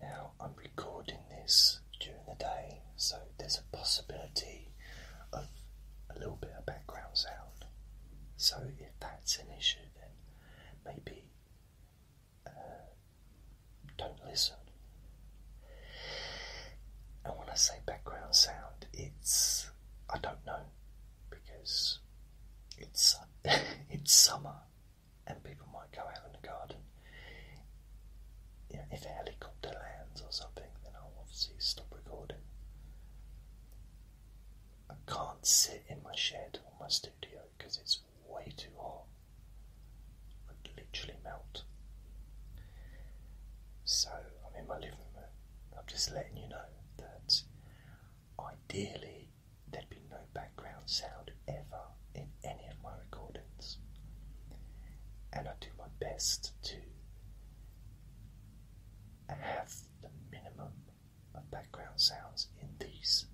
Now, I'm recording this during the day, so there's a possibility of a little bit of background sound. So, if that's an issue, then maybe uh, don't listen. And when I say background sound, it's I don't know because it's it's summer and people might go out in the garden. You know, if a helicopter lands or something, then I'll obviously stop recording. I can't sit in my shed or my studio because it's way too hot. I'd literally melt. So I'm in my living room. I'm just letting you know that ideally There'd be no background sound ever in any of my recordings. And I do my best to have the minimum of background sounds in these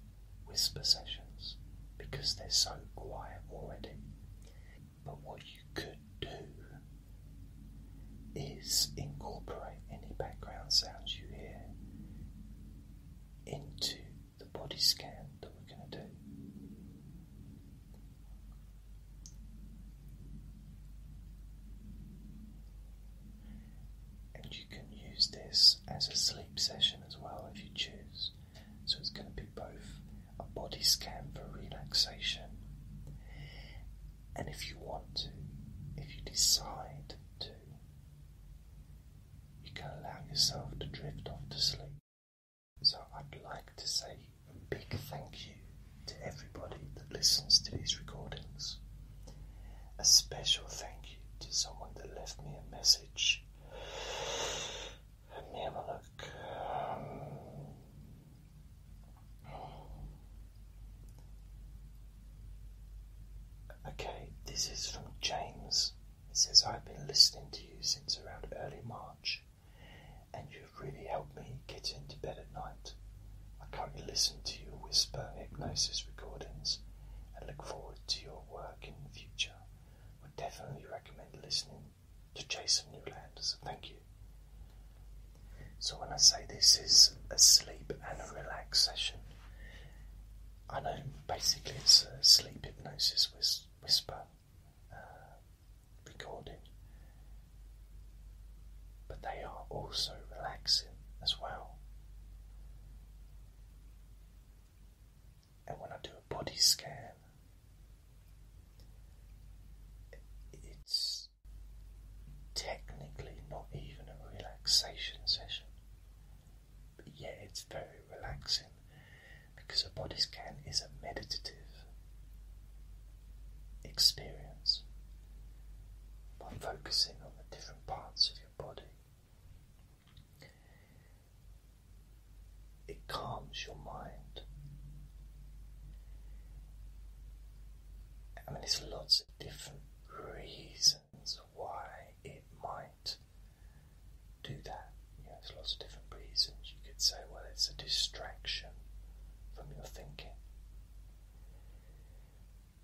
whisper sessions because they're so quiet already. But what you could do is incorporate any background sounds you hear into the body scan that we're going to do. And you can use this as a sleep session as well if you choose. So it's going to be both a body scan for relaxation, and if you want to, if you decide to you can allow yourself to drift off to sleep. So, I'd like to say a big thank you to everybody that listens to these recordings. A special thank you to someone that left me a message. Let me have a look. Okay, this is from James. He says, I've been listening to you since around early March, and you've really helped me get into bed at night. I currently listen to your whisper hypnosis recordings and look forward to your work in the future. Would definitely recommend listening to Jason Newland, so thank you. So, when I say this is a sleep and a relax session, I know basically it's a sleep hypnosis whisper uh, recording, but they are also relaxing as well. And when I do a body scan, it's technically not even a relaxation session, but yet it's very relaxing because a body scan is a meditative experience by focusing on the different parts of your body. It calms your mind. I mean, there's lots of different reasons why it might do that. You there's lots of different reasons. You could say, well, it's a distraction from your thinking.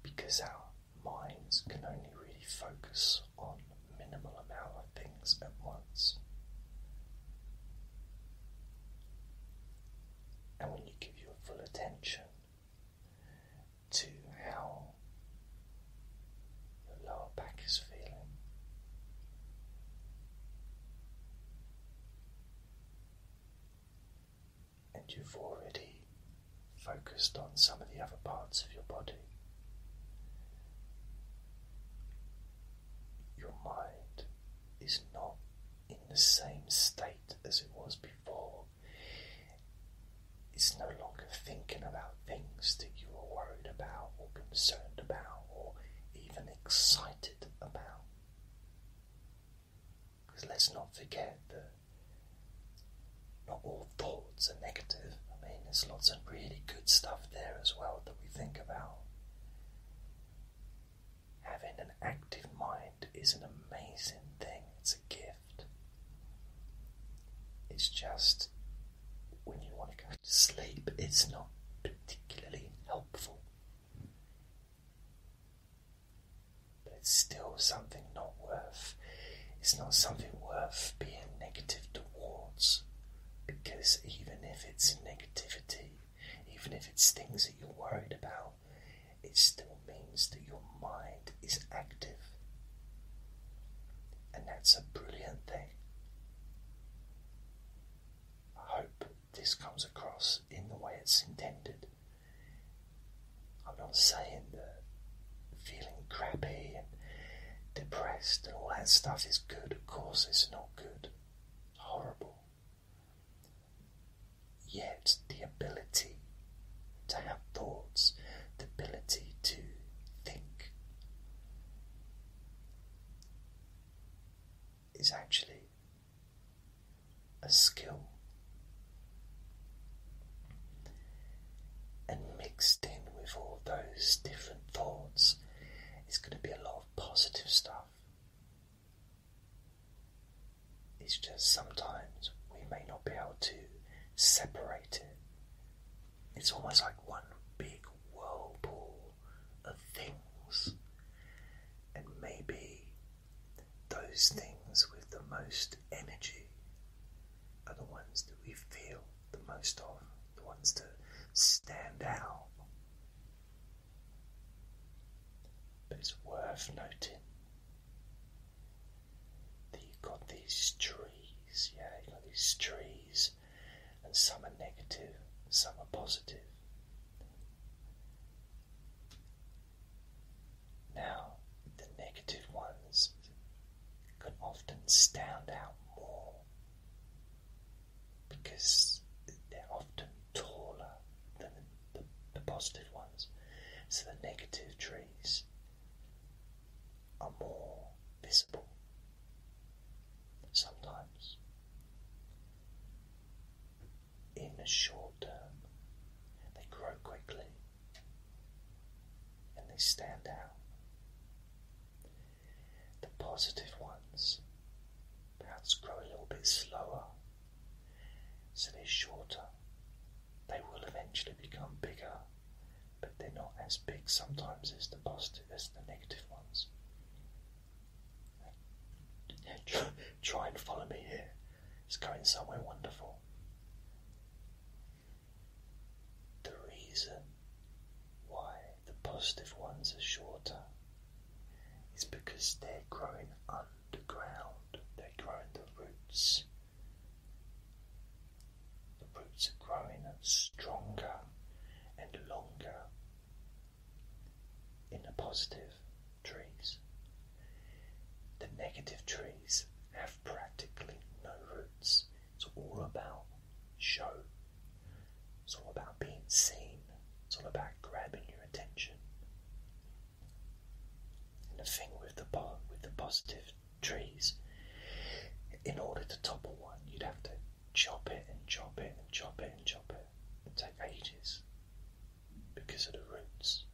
Because our minds can only really focus on minimal amount of things at once. And when you give your full attention to how your lower back is feeling. And you've already focused on some of the other parts of your body. Your mind is not in the same state as it was before. It's no longer thinking about things that you were worried about, or concerned about, or even excited about. Because let's not forget that not all thoughts are negative. I mean, there's lots of really good stuff there as well that we think about. Having an active mind is an amazing thing, it's a gift. It's just when you want to go to sleep, it's not particularly helpful. But it's still something not worth, it's not something worth being negative towards. Because even if it's negativity, even if it's things that you're worried about, it still means that your mind is active. And that's a brilliant thing. I hope this comes across in the way it's intended. I'm not saying that feeling crappy and depressed and all that stuff is good. Of course, it's not good. horrible. Yet, the ability to have thoughts, the ability to think, is actually a skill. And mixed in with all those different thoughts is going to be a lot of positive stuff. It's just sometimes we may not be able to separate it. It's almost like one big whirlpool of things, and maybe those things with the most energy are the ones that we feel the most of, the ones that stand out. But it's worth noting you got these trees, yeah, you got these trees, and some are negative, some are positive. Now, the negative ones can often stand out more because they're often taller than the, ones. So the negative trees are more visible sometimes in the short term. They grow quickly and they stand out. The positive ones perhaps grow a little bit slower so they're shorter. They will eventually become bigger, but they're not as big sometimes as the positive as the negative ones. Try and follow me here. It's going somewhere wonderful. The reason why the positive ones are shorter is because they're growing under the ground, they grow in the roots. The roots are growing stronger and longer in the positive trees. The negative trees have practically no roots. It's all about show. It's all about being seen. It's all about grabbing your attention. And the thing with the po with the positive trees, in order to topple one, you'd have to chop it and chop it and chop it and chop it. It'd take ages because of the roots.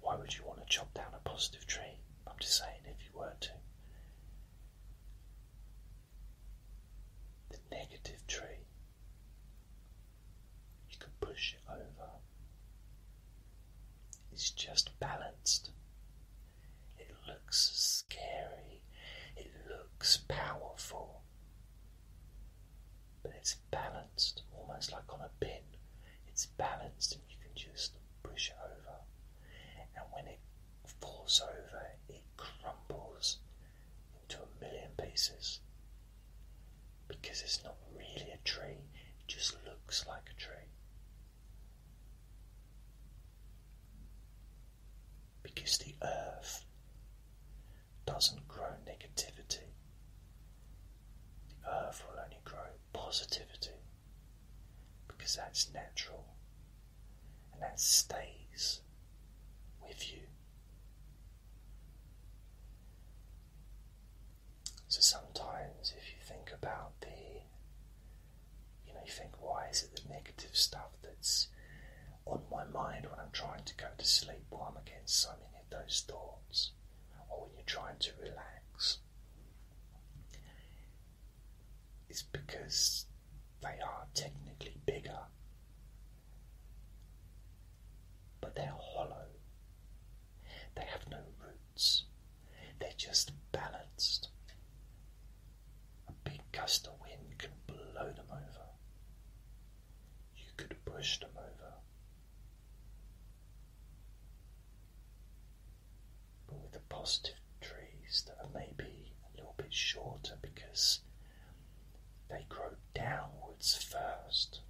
why would you want to chop down a positive tree? I'm just saying, if you were to. The negative tree you can push it over. It's just balanced. It looks scary. It looks powerful. But it's balanced, almost like on a pin. It's balanced, and you can just push it over. And when it falls over, it crumbles to a million pieces because it's not really a tree, it just looks like a tree. Because the earth doesn't grow negativity, the earth will only grow positivity because that's natural and that stays with you so sometimes, if you think about the, you know, you think, why is it the negative stuff that's on my mind when I'm trying to go to sleep, or I'm against so many of those thoughts, or when you're trying to relax? It's because they are technically bigger but they're hollow. They have no roots. They're just balanced. A big gust of wind can blow them over. You could push them over. But with the positive trees that are maybe a little bit shorter because they grow downwards first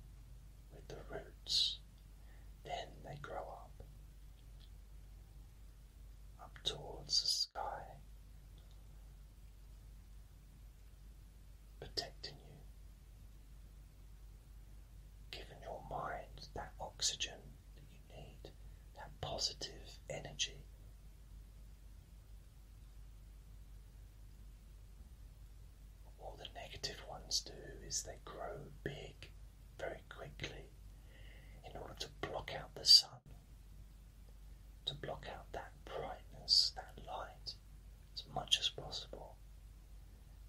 with the roots, then they grow up, up towards the sky, protecting you, giving your mind that oxygen that you need, that positive energy. All the negative ones do is they grow big very quickly in order to block out the sun, to block out that brightness, that light, as much as possible.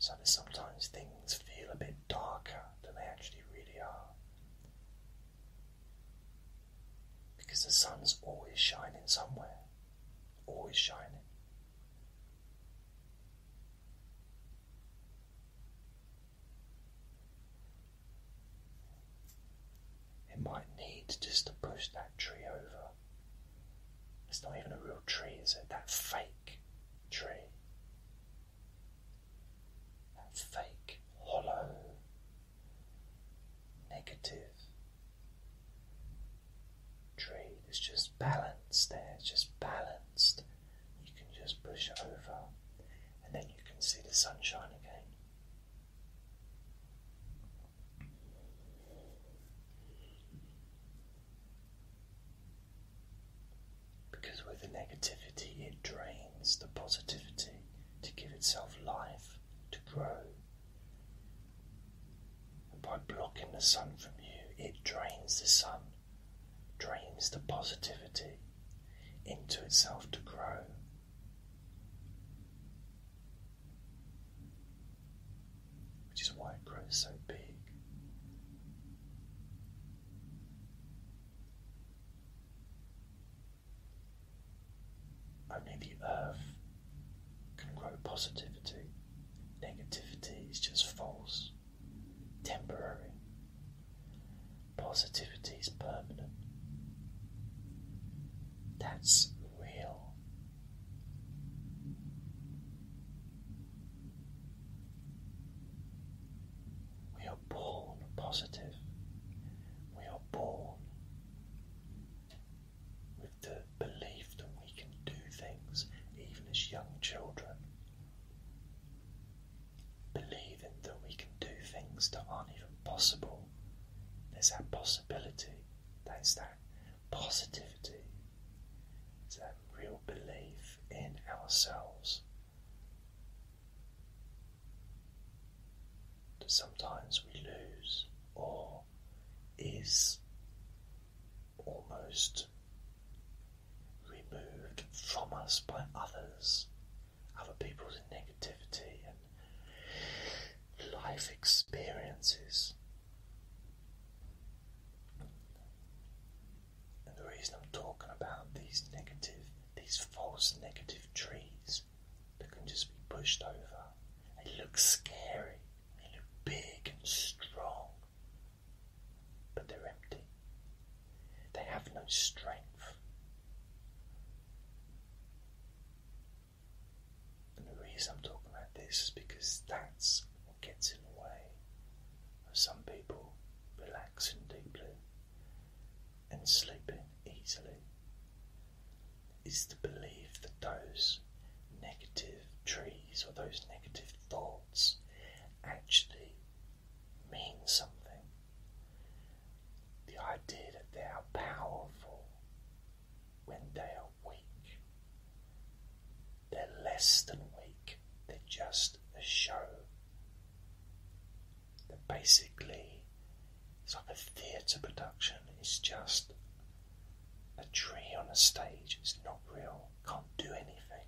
So that sometimes things feel a bit darker than they actually really are. Because the sun's always shining somewhere always shining. It might need just to push that tree over. It's not even a real tree, is it? That fake tree. That fake, hollow, negative tree. It's just balanced there, it's just balanced. You can just push it over and then you can see the sunshine again. Because with the negativity, it drains the positivity to give itself life, to grow by blocking the sun from you, it drains the sun, drains the positivity into itself to grow. Which is why it grows so big. Only the earth can grow positivity. Negativity is just false, temporary. Positivity is permanent. That's real. We are born positive. We are born with the belief that we can do things even as young children. Believing that we can do things that aren't even possible. There's that possibility, there's that positivity, it's that real belief in ourselves. That sometimes we lose or is almost removed from us by others, other people's negativity and life experiences. And the reason I'm talking about these negative, these false negative trees that can just be pushed over. They look scary, they look big and strong, but they're empty. They have no strength. And the reason I'm talking about this is because that's what gets in the way of some people relaxing deeply and sleeping easily is to believe that those negative trees or those negative thoughts actually mean something. The idea that they are powerful when they are weak. They're less than weak, they're just a show. They're basically it's like a theatre production. It's just a tree on a stage. It's not real. Can't do anything.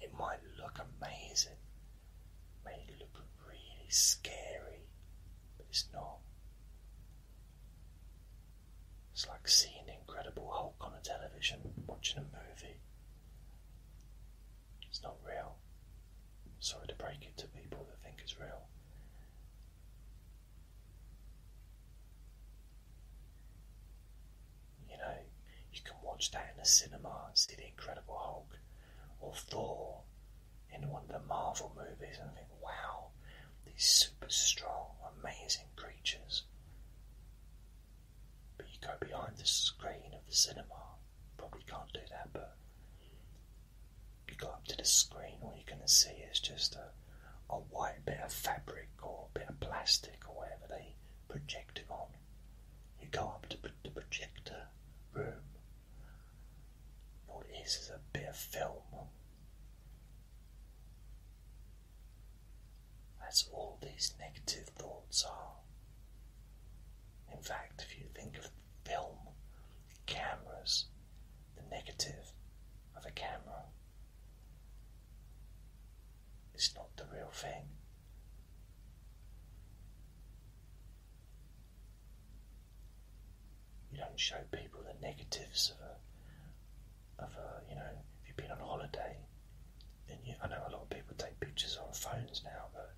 It might look amazing. It may look really scary, but it's not. It's like seeing the Incredible Hulk on a television, watching a movie. It's not real. Sorry to break it to people that think it's real. You know, you can watch that in a cinema and see the Incredible Hulk or Thor in one of the Marvel movies and think, wow, these super strong, amazing creatures. But you go behind the screen of the cinema, probably can't do that, but you go up to the screen, all you're going to see is just a, a white bit of fabric or a bit of plastic or whatever they project it on. You go up to the projector room, all it is is a bit of film. That's all these negative thoughts are. In fact, if you think of film, cameras, the negative of a camera. It's not the real thing. You don't show people the negatives of a, of a, you know, if you've been on holiday, and you, I know a lot of people take pictures on phones now, but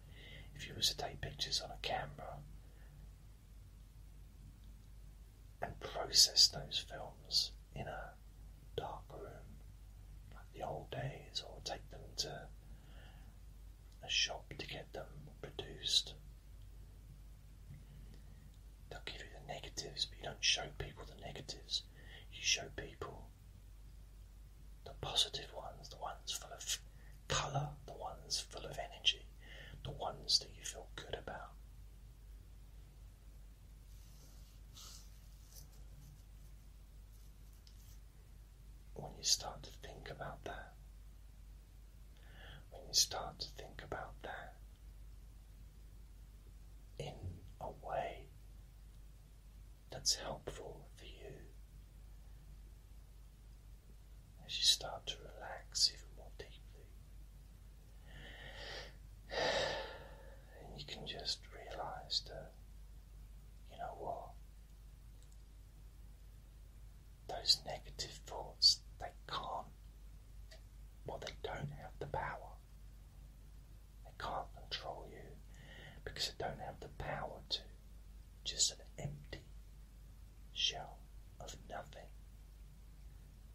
if you was to take pictures on a camera, and process those films in a dark room like the old days, or take them to a shop to get them produced. They'll give you the negatives, but you don't show people the negatives. You show people the positive ones, the ones full of Colour the ones full of energy, the ones that you feel good about. When you start to think about that, when you start to think about that in a way that's helpful for you, as you start to relax even more deeply. And you can just realize that, you know what? Those negative thoughts, they can't, well, they don't have the power. They can't control you because they don't have the power to. Just an empty shell of nothing.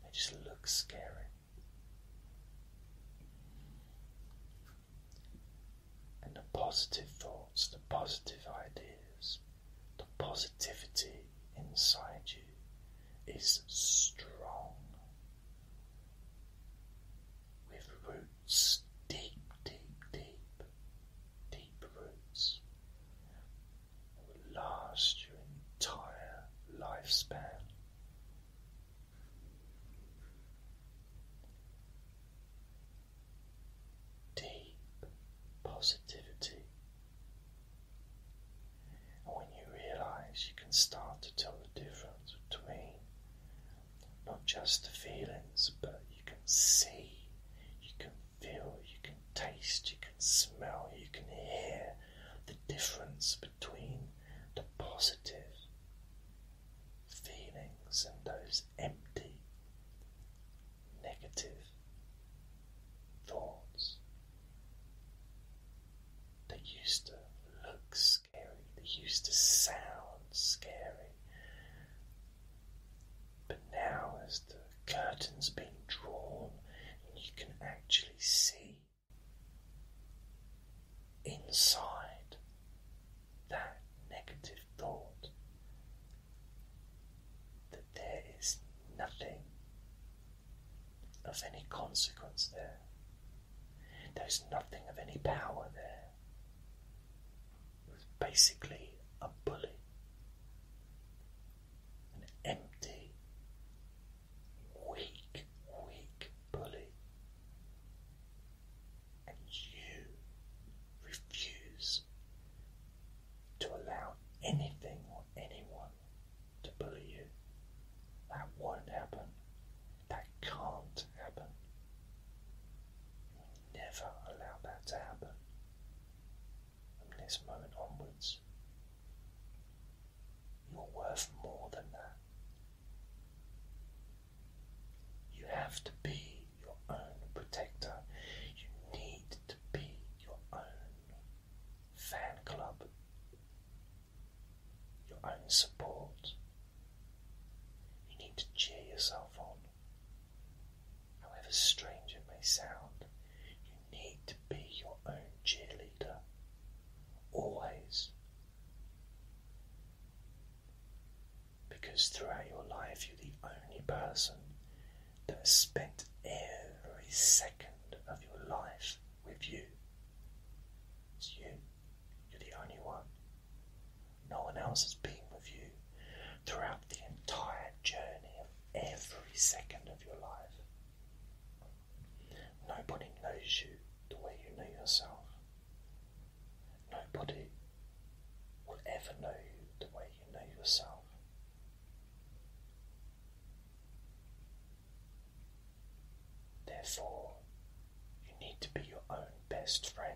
They just look scary. And the positive thoughts, the positive ideas, the positivity inside you is strong. With roots deep, deep, deep, deep roots will last your entire lifespan. Deep positivity. And when you realize you can start to tell the difference between not just the feelings, but you can see, you can feel, you can taste, you can smell, you can hear the difference between the positive feelings and those empty negative thoughts. They used to look scary, they used to sound scary, but now, as the curtain's been drawn, you can actually see inside that negative thought that there is nothing of any consequence there. There's nothing of any power there. It's basically a bully an empty, weak, weak bully, and you refuse to allow anything or anyone to bully you. That won't happen. That can't happen. never allow that to happen from this moment onwards. You're worth more than that. You have to be your own protector. You need to be your own fan club, your own support. You need to cheer yourself on. However strange it may sound, you need to be your own cheerleader. Always. Because throughout your life, you're the only person that spent every second of your life with you. It's you. You're the only one. No one else has been with you throughout the entire journey of every second of your life. Nobody knows you the way you know yourself. Nobody will ever know you the way you know yourself. Therefore, you need to be your own best friend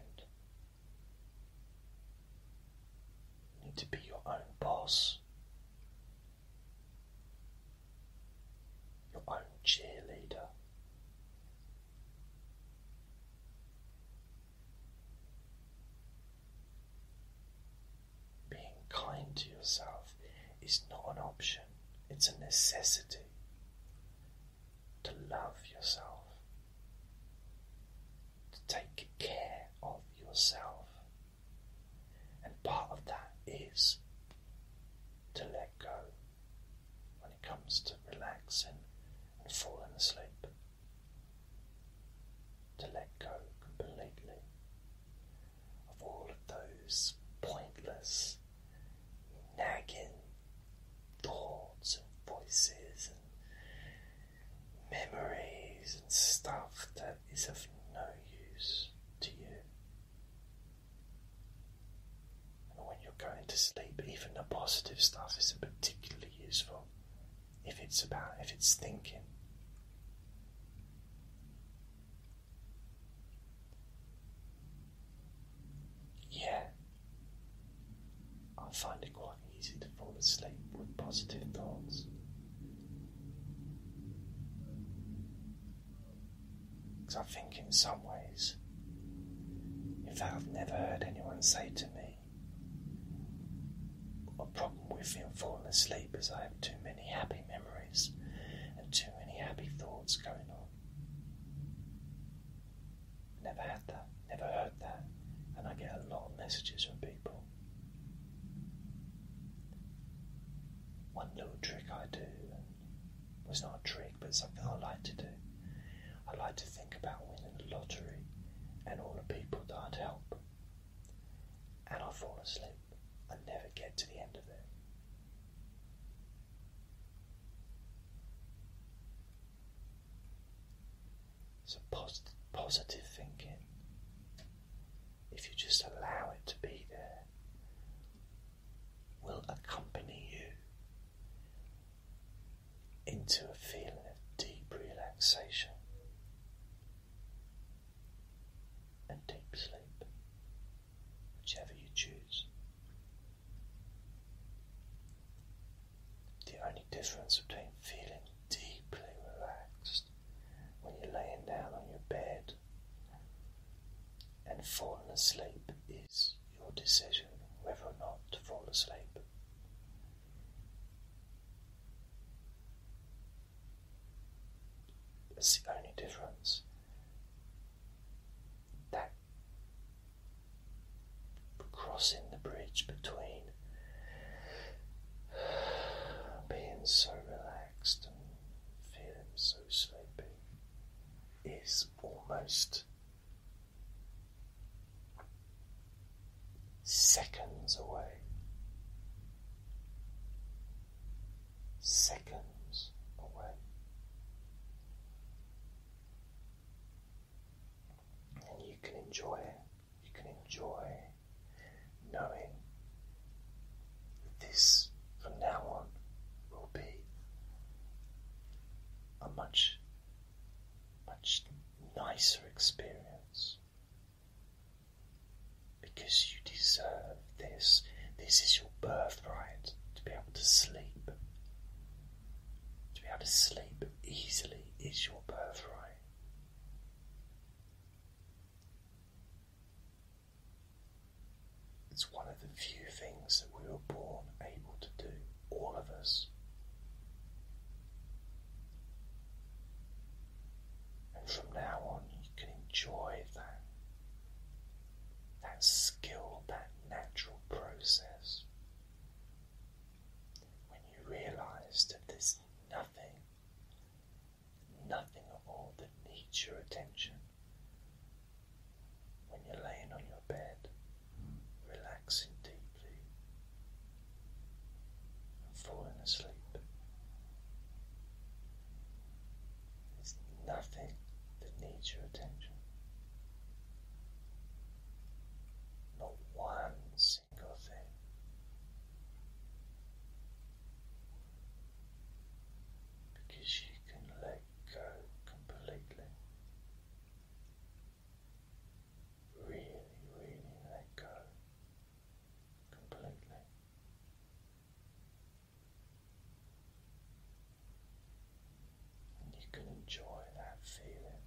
need to be your own boss, your own cheerleader. Being kind to yourself is not an option, it's a necessity to love yourself to take care of yourself. And part of that is to let go when it comes to relaxing and falling asleep. To let go completely of all of those pointless, nagging thoughts and voices and memories and stuff that is of no use to you. when you're going to sleep, even the positive stuff isn't particularly useful if it's about if it's thinking. Yeah, I find it quite easy to fall asleep with positive thoughts. Because I think, in some ways, if I've never heard anyone say to me, a problem with me falling asleep is I have too many happy memories and too many happy thoughts going on. Never had that. Never heard that, and I get a lot of messages from people. One little trick I do, and well, it's not a trick, but something I like to do. I like to think about winning the lottery and all the people that I'd help, and I fall asleep. and never get to the end of it. It's a positive thinking. If you just allow it to be there, will accompany you into a feeling of deep relaxation and deep sleep, whichever you choose. The only difference between feeling deeply relaxed when you're laying down on your bed and falling asleep is your decision whether or not to fall asleep. That's the only difference crossing the bridge between being so relaxed and feeling so sleepy is almost seconds away. Seconds away and you can enjoy it. You can enjoy knowing this from now on will be a much, much nicer experience because you deserve this. This is your birthright to be able to sleep. To be able to sleep easily is your birthright. It's one of the few things that we were born able to do, all of us. And from now on, you can enjoy that, that skill, that natural process when you realize that there's nothing, nothing at all that needs your attention. When you're laying on your bed, relaxing deeply and falling asleep, there's nothing that needs your attention. Not one single single thing. Because you can let go completely. Really, really let go completely. And you can enjoy that feeling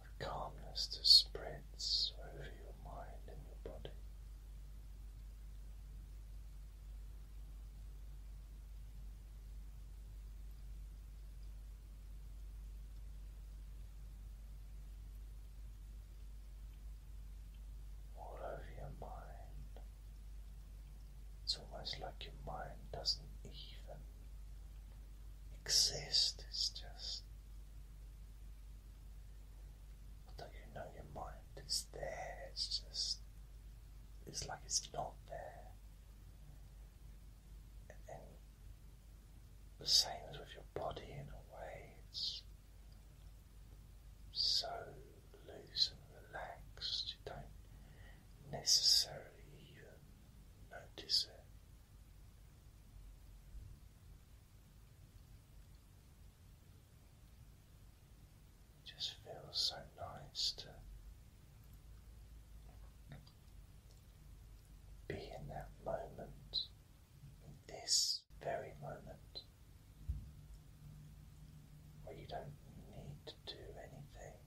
a calmness that spreads over your mind and your body. All over your mind, it's almost like your mind doesn't even exist, it's just. Although you know your mind is there, it's just. It's like it's not there. And the same as with your body in a way, it's so loose and relaxed, you don't necessarily even notice it. It just feels so nice to be in that moment, in this very moment, where you don't need do anything,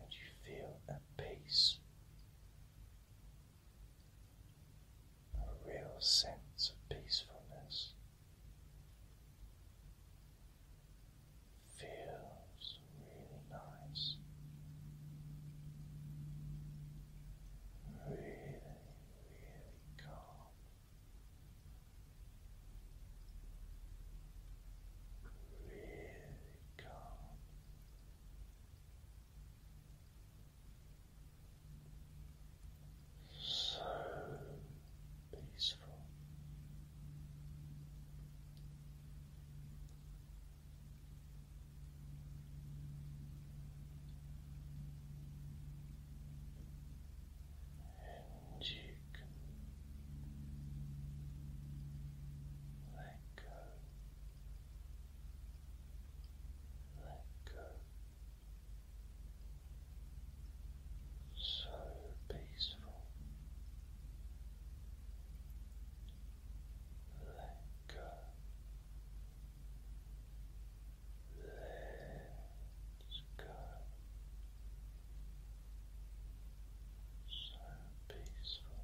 and you feel at peace. A real sense of peacefulness feels really nice, really, really calm really calm. So peaceful and you can let go, let go. So peaceful. Let go. Let's go. So peaceful.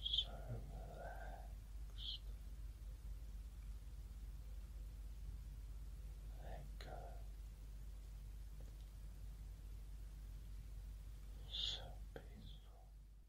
So relaxed. Let go. So peaceful.